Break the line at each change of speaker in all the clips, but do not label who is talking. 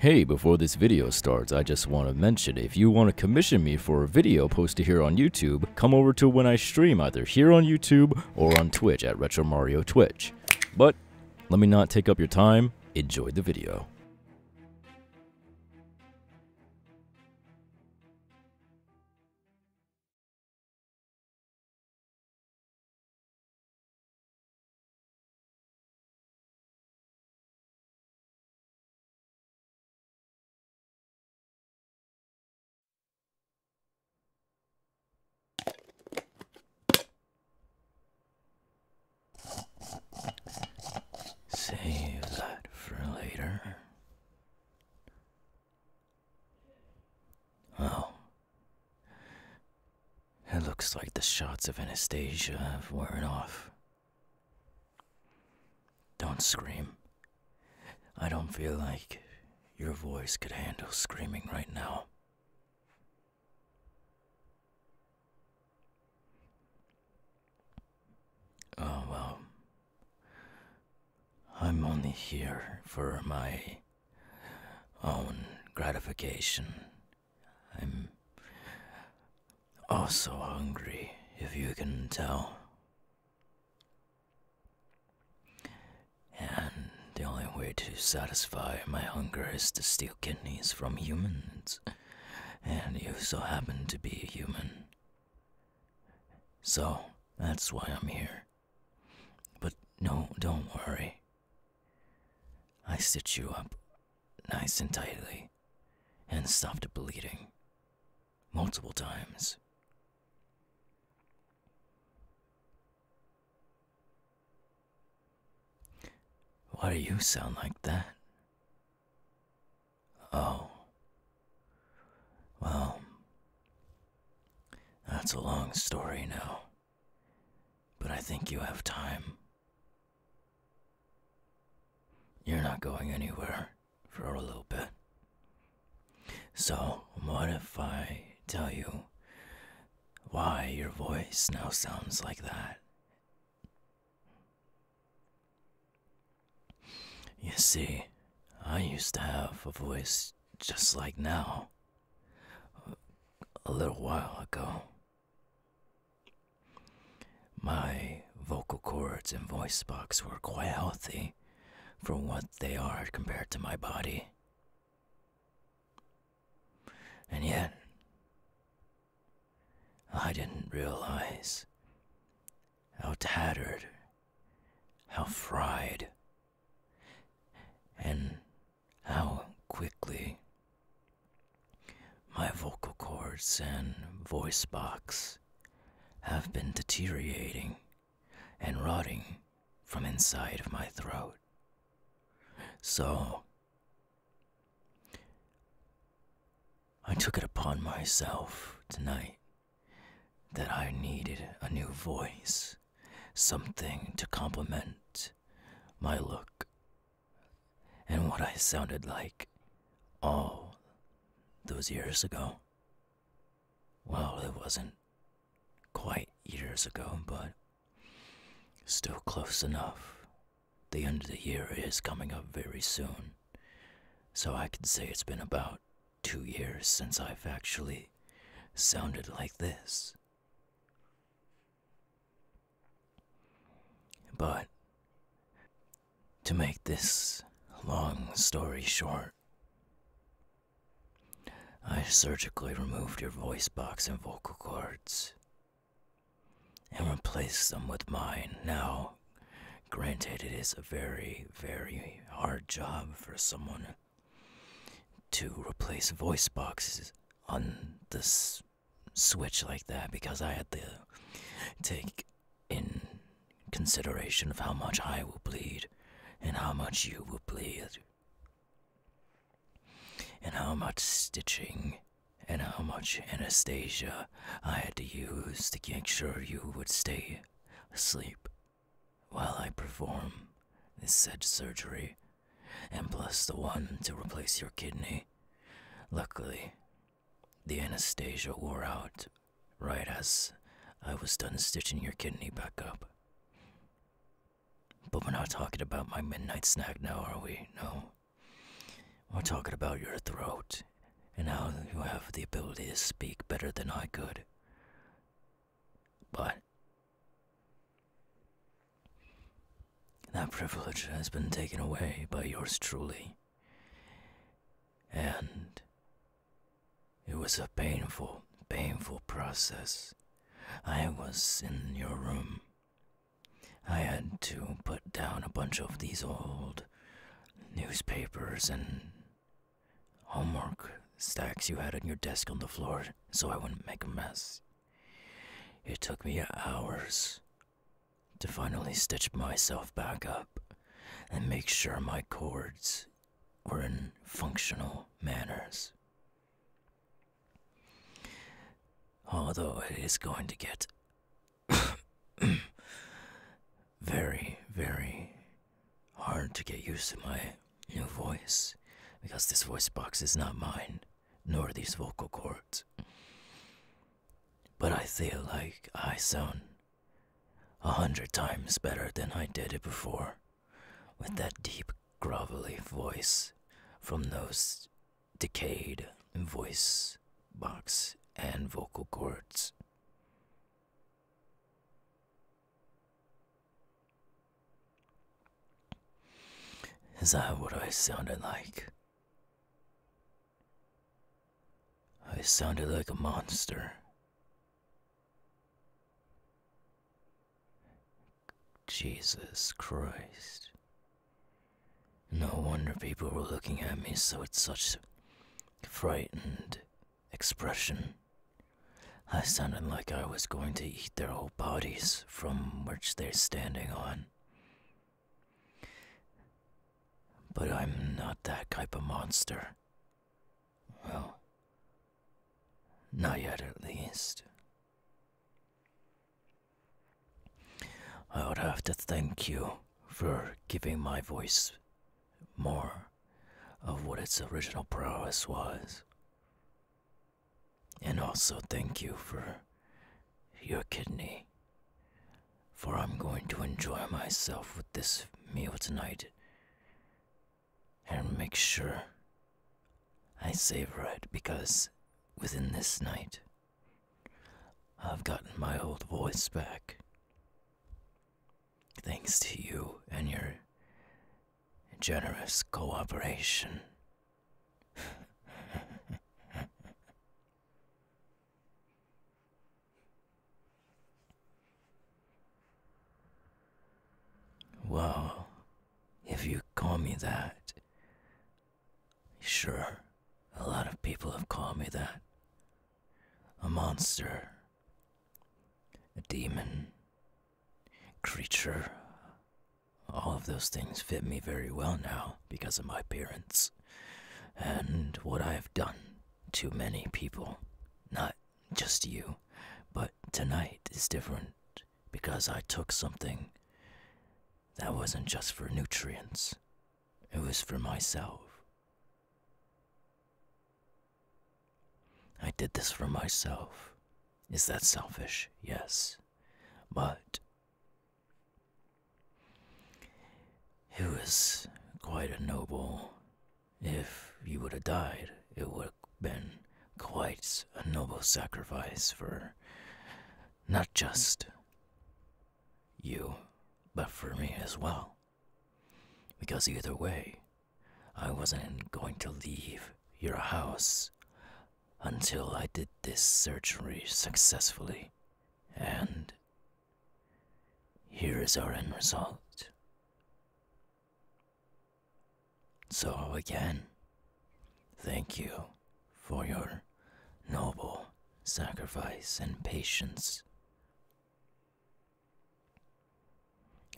Hey, before this video starts, I just want to mention if you want to commission me for a video posted here on YouTube, come over to when I stream either here on YouTube or on Twitch at Retro Mario Twitch. But let me not take up your time, enjoy the video. Save that for later. Well, oh. it looks like the shots of Anastasia have worn off. Don't scream. I don't feel like your voice could handle screaming right now. Oh well. I'm only here for my own gratification. I'm also hungry, if you can tell. And the only way to satisfy my hunger is to steal kidneys from humans. And you so happen to be a human. So, that's why I'm here. But no, don't worry. I stitch you up nice and tightly and stop the bleeding multiple times. Why do you sound like that? Oh. Well, that's a long story now. But I think you have time. You're not going anywhere for a little bit. So, what if I tell you why your voice now sounds like that? You see, I used to have a voice just like now, a little while ago. My vocal cords and voice box were quite healthy for what they are compared to my body. And yet, I didn't realize how tattered, how fried, and how quickly my vocal cords and voice box have been deteriorating and rotting from inside of my throat. So, I took it upon myself tonight that I needed a new voice, something to complement my look and what I sounded like all those years ago. Well, it wasn't quite years ago, but still close enough. The end of the year is coming up very soon, so I could say it's been about two years since I've actually sounded like this. But to make this long story short, I surgically removed your voice box and vocal cords and replaced them with mine now Granted, it is a very, very hard job for someone to replace voice boxes on this switch like that because I had to take in consideration of how much I will bleed and how much you will bleed and how much stitching and how much anesthesia I had to use to make sure you would stay asleep while I perform this said surgery, and bless the one to replace your kidney. Luckily, the anesthesia wore out right as I was done stitching your kidney back up. But we're not talking about my midnight snack now, are we? No. We're talking about your throat and now you have the ability to speak better than I could. But that privilege has been taken away by yours truly. And it was a painful, painful process. I was in your room. I had to put down a bunch of these old newspapers and homework stacks you had on your desk on the floor so I wouldn't make a mess. It took me hours to finally stitch myself back up and make sure my cords were in functional manners. Although it is going to get very, very hard to get used to my new voice because this voice box is not mine, nor these vocal cords. But I feel like I sound a hundred times better than I did it before with that deep, grovelly voice from those decayed voice box and vocal cords. Is that what I sounded like? I sounded like a monster. Jesus Christ. No wonder people were looking at me so it's such frightened expression. I sounded like I was going to eat their whole bodies from which they're standing on. But I'm not that type of monster. Well, not yet at least. I would have to thank you for giving my voice more of what its original prowess was. And also, thank you for your kidney. For I'm going to enjoy myself with this meal tonight and make sure I savor it because within this night I've gotten my old voice back. Thanks to you and your generous cooperation. well, if you call me that, sure, a lot of people have called me that. A monster a demon, creature. All of those things fit me very well now because of my appearance, and what I have done to many people. Not just you, but tonight is different because I took something that wasn't just for nutrients, it was for myself. I did this for myself. Is that selfish? Yes. But it was quite a noble. If you would have died, it would have been quite a noble sacrifice for not just you, but for me as well. Because either way, I wasn't going to leave your house until I did this surgery successfully. And here is our end result. So, again, thank you for your noble sacrifice and patience.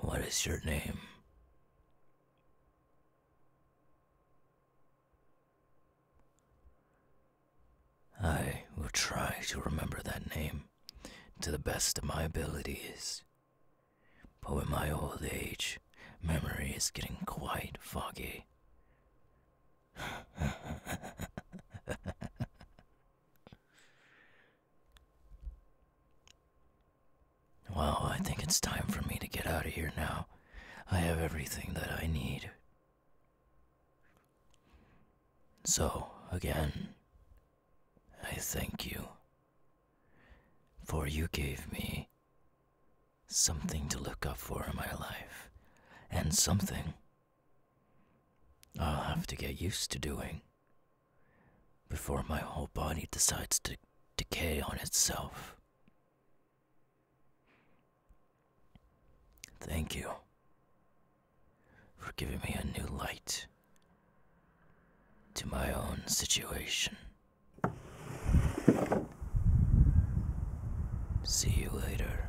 What is your name? I will try to remember that name to the best of my abilities. But in my old age, memory is getting quite foggy. Well, I think it's time for me to get out of here now. I have everything that I need. So, again, I thank you. For you gave me something to look up for in my life, and something I'll have to get used to doing before my whole body decides to decay on itself. Thank you for giving me a new light to my own situation. See you later.